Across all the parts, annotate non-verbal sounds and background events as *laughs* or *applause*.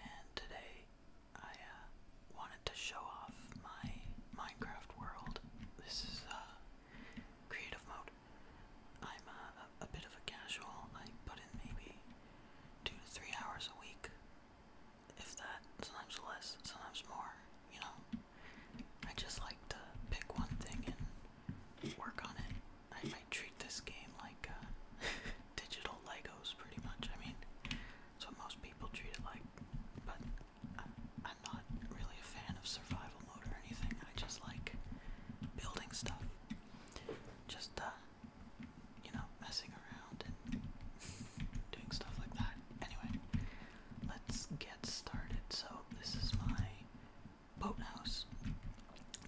and today I uh, wanted to show off my Minecraft world. This is uh, creative mode. I'm uh, a bit of a casual. I put in maybe two to three hours a week, if that. Sometimes less, sometimes more. You know, I just like to pick one thing and work on it I might treat this game like uh, *laughs* digital Legos, pretty much. I mean, that's what most people treat it like. But I'm, not really a fan of survival mode or anything. I just like building stuff. Just, uh, you know, messing around and *laughs* doing stuff like that. Anyway, let's get started. So, this is my boat house.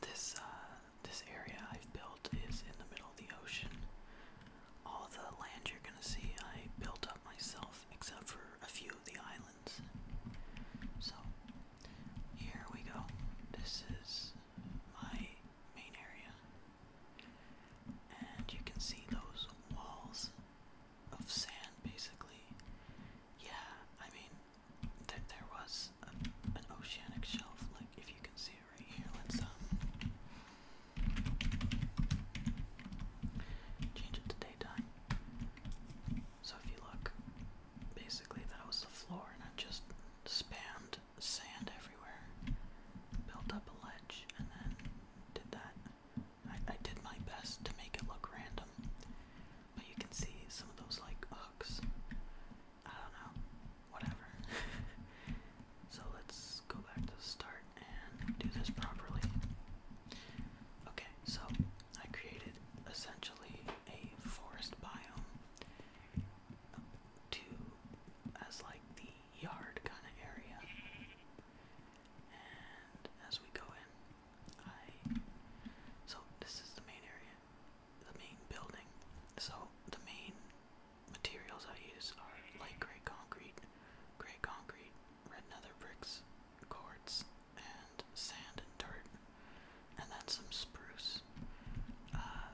This, uh, this area I've built is in the middle of the ocean. All the land you're gonna see I built up myself, except for a few of the islands. So, here we go. This is my main area. And you can see those walls of sand basically. Yeah, I mean, there, there was an oceanic shelf, like if you can see right here. Let's um, change it to daytime. So if you look, basically that was the floor, and I just spanned sand everywhere, built up a ledge, and then did that. I, I did my best to make it look random, but you can see some of those like hooks I don't know. Whatever. *laughs* so let's go back to the start and do this properly. Okay, so I created essentially a forest biome to as like the yard kind of area. And as we go in, I so this is the main area the main building. So the main materials I use are light gray concrete, gray concrete, red nether bricks, quartz, and sand and dirt, and then some spruce. Uh,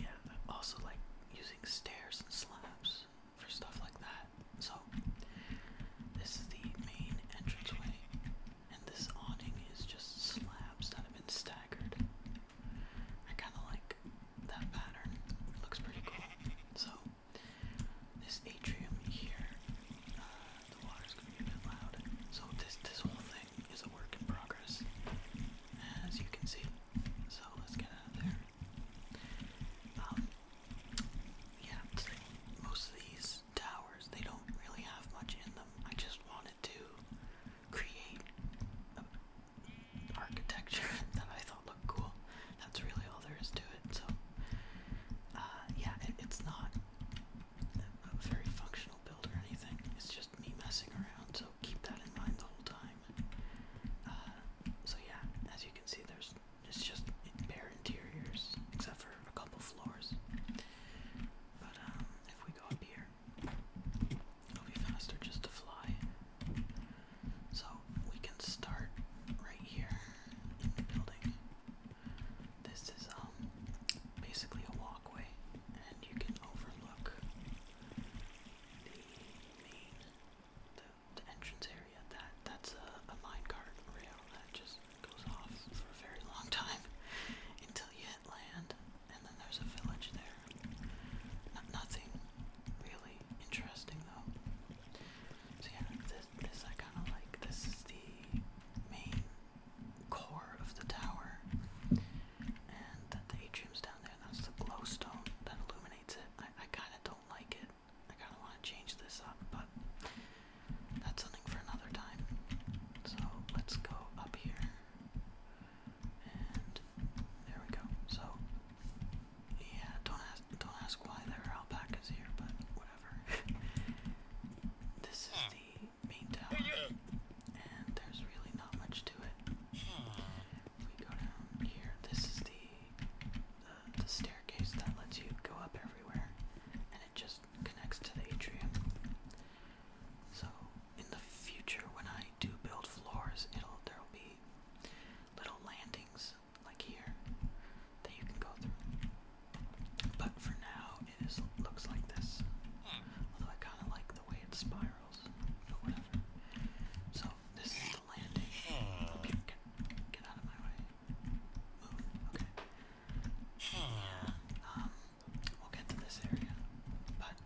yeah, I also like using stairs and slabs for stuff like that. So this is the main entranceway and this awning is just slabs that have been staggered. I kind of like that pattern. It looks pretty cool. So, this atrium here, uh, the water's gonna be a bit loud. So this this whole thing is a work in progress, as you can see. So let's get out of there. Um, yeah, most of these towers they don't really have much in them. I just want to create architecture *laughs* that I thought looked cool. That's really all there is to it. So, uh, yeah, it's not a very functional build or anything. It's just me messing around. So keep that in mind the whole time. Uh, so yeah, as you can see, there's it's just bare interiors except for a couple floors. But um, if we go up here. It'll be faster just to fly. So we can start right here in the building. This is um basically a walkway and you can overlook the main the, entrance area. That that's a, a minecart rail that just goes off for a very long time *laughs* until you land, and then there's a village there. nothing really interesting though. So this I kind of like. This is the main core of the tower, and the, atrium's down there. that's the glowstone that illuminates it. I I kind of don't like it. I kind of want to change this up, but that's for another time. So let's go up here. And there we go. So yeah, don't ask don't ask why there are alpacas here, but whatever. *laughs* this is the main tower. And there's really not much to it. we go down here, this is the the staircase that lets you go up everywhere. And it just just connects to the atrium. So in the future, when I do build floors, it'll there'll be little landings like here that you can go through. But for now, it is looks like this. Although I kind of like the way it spirals, but whatever. So this is the landing. Oh, get, get out of my way. Move. Okay. Yeah. Um. We'll get to this area. But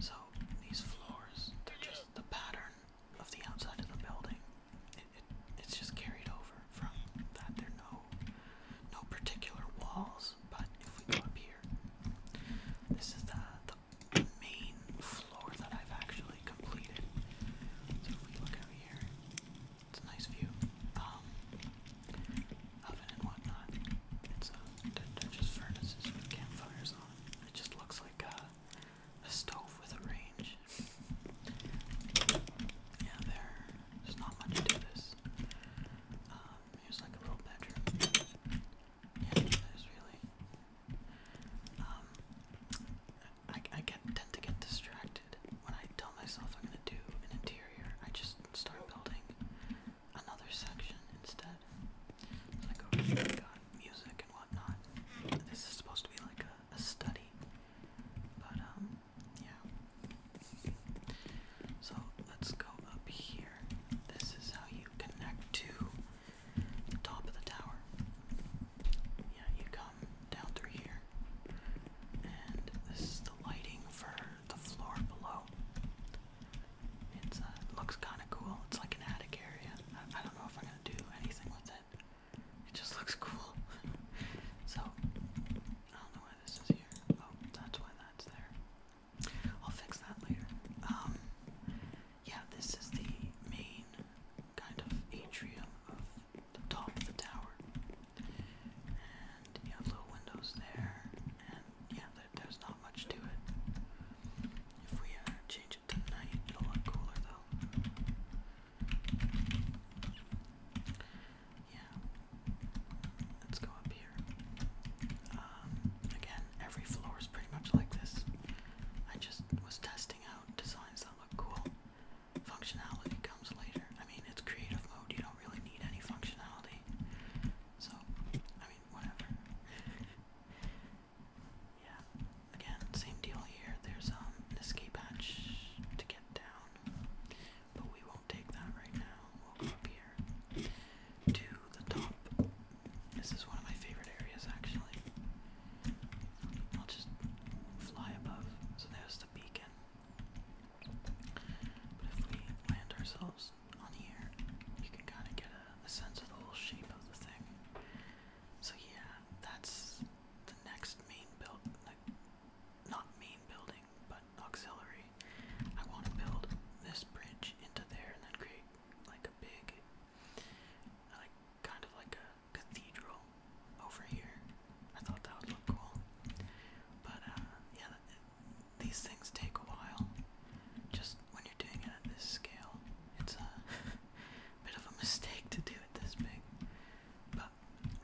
so these floors, they're just the pattern of the outside of the building. It, it's just carried over from that. There are no no particular walls, but if we go up here, this is the the main floor that I've actually completed. So if we look over here, it's a nice view. oven and whatnot. It's just furnaces with campfires on. It just looks like a, stove with a range. Yeah, there's not much to this. Um, like a little bedroom. Yeah, there's really. Um, I, I get tend to get distracted when I tell myself I'm gonna do an interior, I just start building another section instead. I go over here, I music and whatnot. This is supposed to be like a, a study, but um, yeah. So let's go up here. This is how you connect to the top of the tower. Yeah, you come down through here. And this is the lighting for the floor below. Uh, it looks kind of cool. It's like an attic area. I, don't know if I'm gonna do anything with it. It just *laughs* looks cool. so I don't know why this is here. Oh, that's why that's there. I'll fix that later. Um, yeah, this is the main kind of atrium the top of the tower. And you have little windows there, and yeah, there's not much to it. If we uh, change it to night, it'll look cooler though. Yeah, let's go up here. Um, again, every floor is pretty much like this. I just was testing out designs that look cool functionality comes later. I mean, it's creative mode, you don't really need any functionality. So, I mean, whatever. yeah, again, same deal here. There's um, an escape hatch to get down, but we won't take that right now. We'll go up here to the top. This is one of my favorite areas, actually. I'll just fly above. So there's the beacon. But if we land ourselves on here, you can kind of get a, a sense of the whole shape of the thing. So yeah, that's the next main build, like, not main building, but auxiliary. I want to build this bridge into there and then create like a big, like kind of like a cathedral over here. I thought that would look cool. But uh, yeah, these things take a while. Just when you're doing it at this scale, it's a *laughs* bit of a mistake to do it this big. But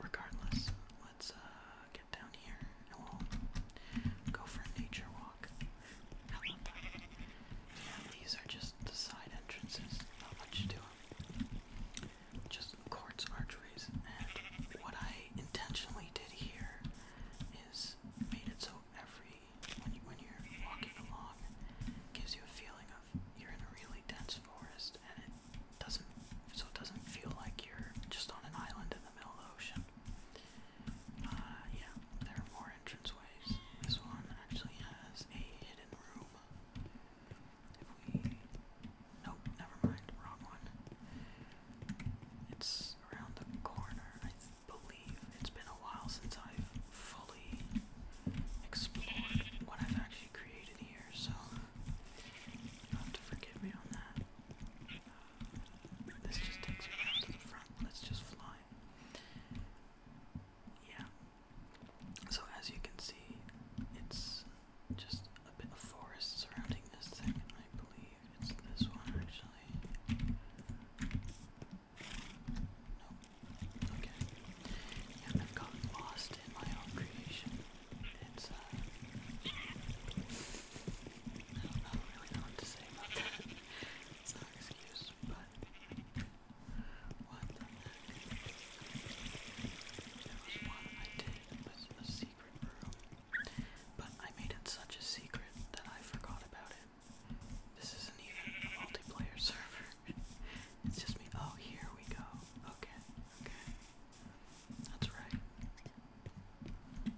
regardless, let's uh, get down here and we'll go for a nature walk. Yeah, these are just the side entrances. Not much to them just courts archways, And what I intentionally did here is made it so every when you, when you're walking along, gives you a feeling of you're in a really dense forest, and it doesn't so it doesn't feel like you're just on an island in the middle of the ocean. Uh, yeah, there are more entranceways. This one actually has a hidden room. Nope, never mind. Wrong one. It's around the corner, I believe. It's been a while since I've fully explored what I've actually created here, so you'll have me on that. this just takes me around to the front. Let's just fly. Yeah. So as you can see, it's just a bit of forest surrounding this thing. I believe it's this one actually. Nope. Okay. Yeah, I've gotten lost in my own creation. It's uh, I don't, really know what to say about that. it's no excuse, but what there was one I did with a secret room, but I made it such a secret that I forgot about it. This isn't even a multiplayer server. it's just me. Oh, here we go. Okay, okay. That's right.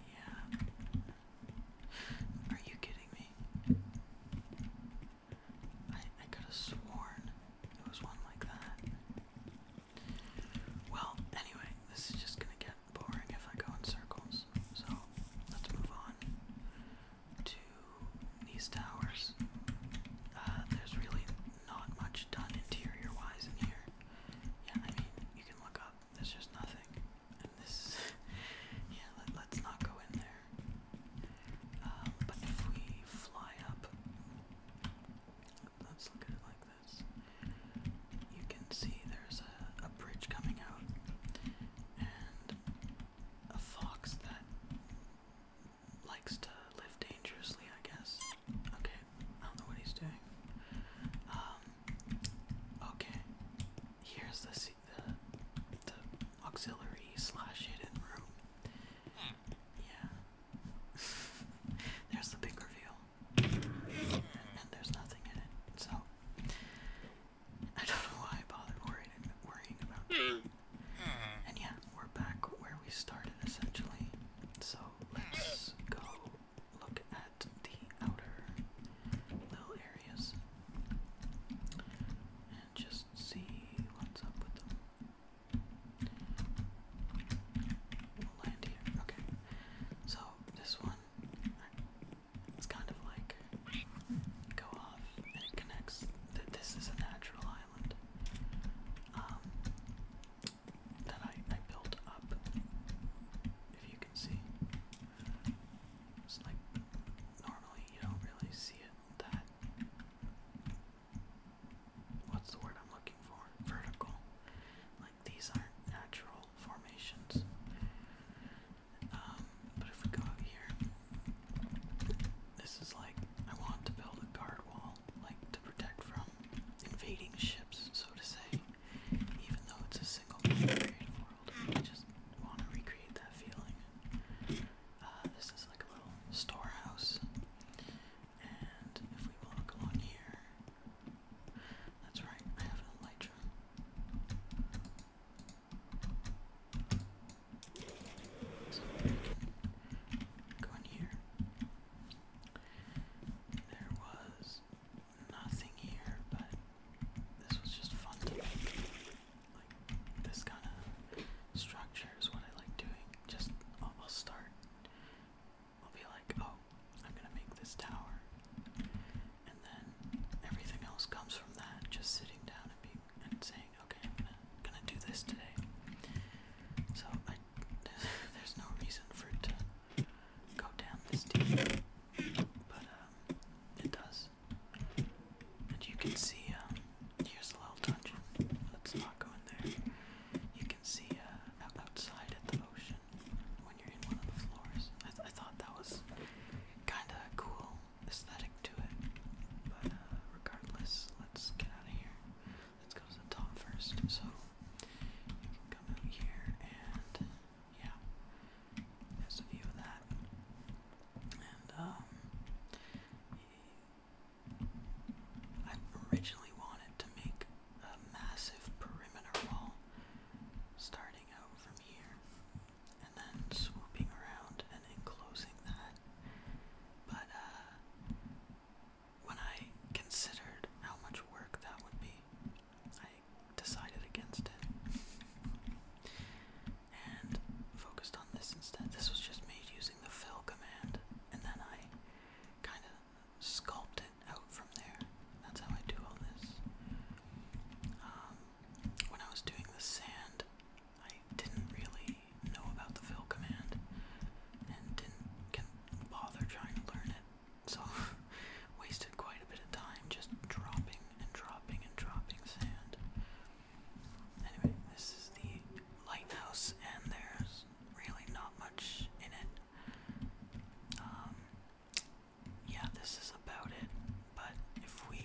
Yeah. Are you kidding me? I I could have sworn it was one like that. Well, anyway, this is just gonna get boring if I go in circles. So let's move on to these towers. Uh, there's really not much done interior wise in here. Yeah, I mean, you can look up, there's just nothing. And this, *laughs* yeah, let, us not go in there. Um, but if we fly up, let's look at it like this. You can see there's a, bridge coming out and a fox that likes to live dangerously, I guess. Okay, I don't know what he's doing. Um, okay, here's the, the auxiliary slash hidden room. Yeah. there's the big reveal. And, there's nothing in it. So I don't know why I bothered worrying worrying about And yeah, we're back where we started essentially. So let's go look at the outer little areas and just see what's up with them. We'll land here. Okay. So this one, it's kind of like go off and it connects. That this is a natural island um, that I I built up. If you can see, it's like normally you don't really see it that what's the word I'm looking for? Vertical. Like these aren't natural formations. Um, but if we here, this is like I want to build a guard wall, like to protect from invading ships, so to say. Even though it's a single creative world, I just want to recreate that feeling. Uh, this is like a little storehouse. And if we walk along here, that's right, I have an elytra. So here. There was nothing here, but this was just fun to make. Like this kind of structure is what I like doing. Just I'll, start. I'll be like, oh, I'm gonna make this tower, and then everything else comes from that. Just sitting down and being and saying, okay, I'm gonna do this today. So I there's, *laughs* there's no reason for it to go down this deep, but um, it does. And you can see um, Here's a little dungeon. Let's not go in there. You can see uh, outside at the ocean when you're in one of the floors. I, thought that was kind of cool aesthetic to it. But uh, regardless, let's get out of here. Let's go to the top first. So you can come out here and yeah, there's a view of that. And um, I originally wanted to make a massive perimeter wall starting out from here and then swooping around and enclosing that. But uh, when I considered how much work that would be, I decided against it and focused on this instead. This was just made using the fill command, and then I kind of sculpted out from there. That's how I do all this. Um, when I was doing the sand, I didn't really know about the fill command and didn't bother trying to learn it. So *laughs* wasted quite a bit of time just dropping and dropping and dropping sand. Anyway, this is the lighthouse, and there's really not much in it. Um, yeah, this is about it. But if we,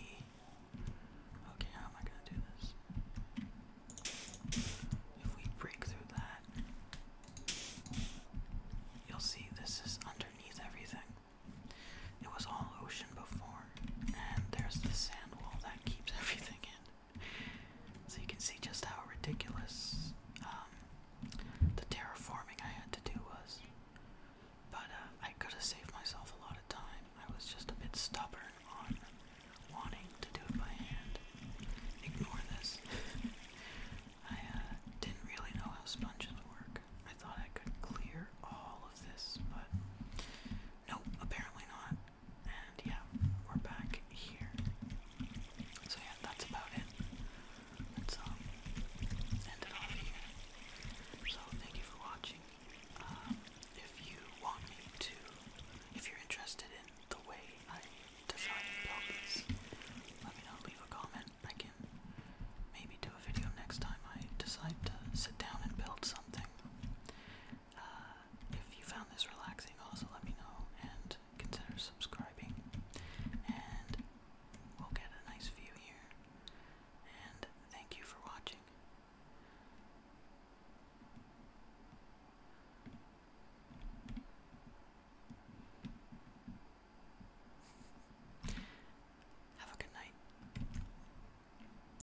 okay, how am I gonna do this? If we break through that, you'll see this is underneath everything. It was all ocean before, and there's the sand wall that keeps *laughs* everything in. So you can see just how ridiculous um, the terraforming I had to do was. But uh, I could have saved myself a lot of time. I was just a bit stubborn on wanting to do it by hand. Ignore this. *laughs* I uh, didn't really know how sponges work. I thought I could clear all of this, but Nope, apparently not. And yeah, we're back here. So yeah, that's about it. Let's um, off here. So thank you for watching. Um, if you want me to, if you're interested in the way I design and let me know. Leave a comment. I can maybe do a video next time I decide to sit down and build something if you found this relaxing, also let me know and consider subscribing. And we'll get a nice view here. And thank you for watching. Have a good night.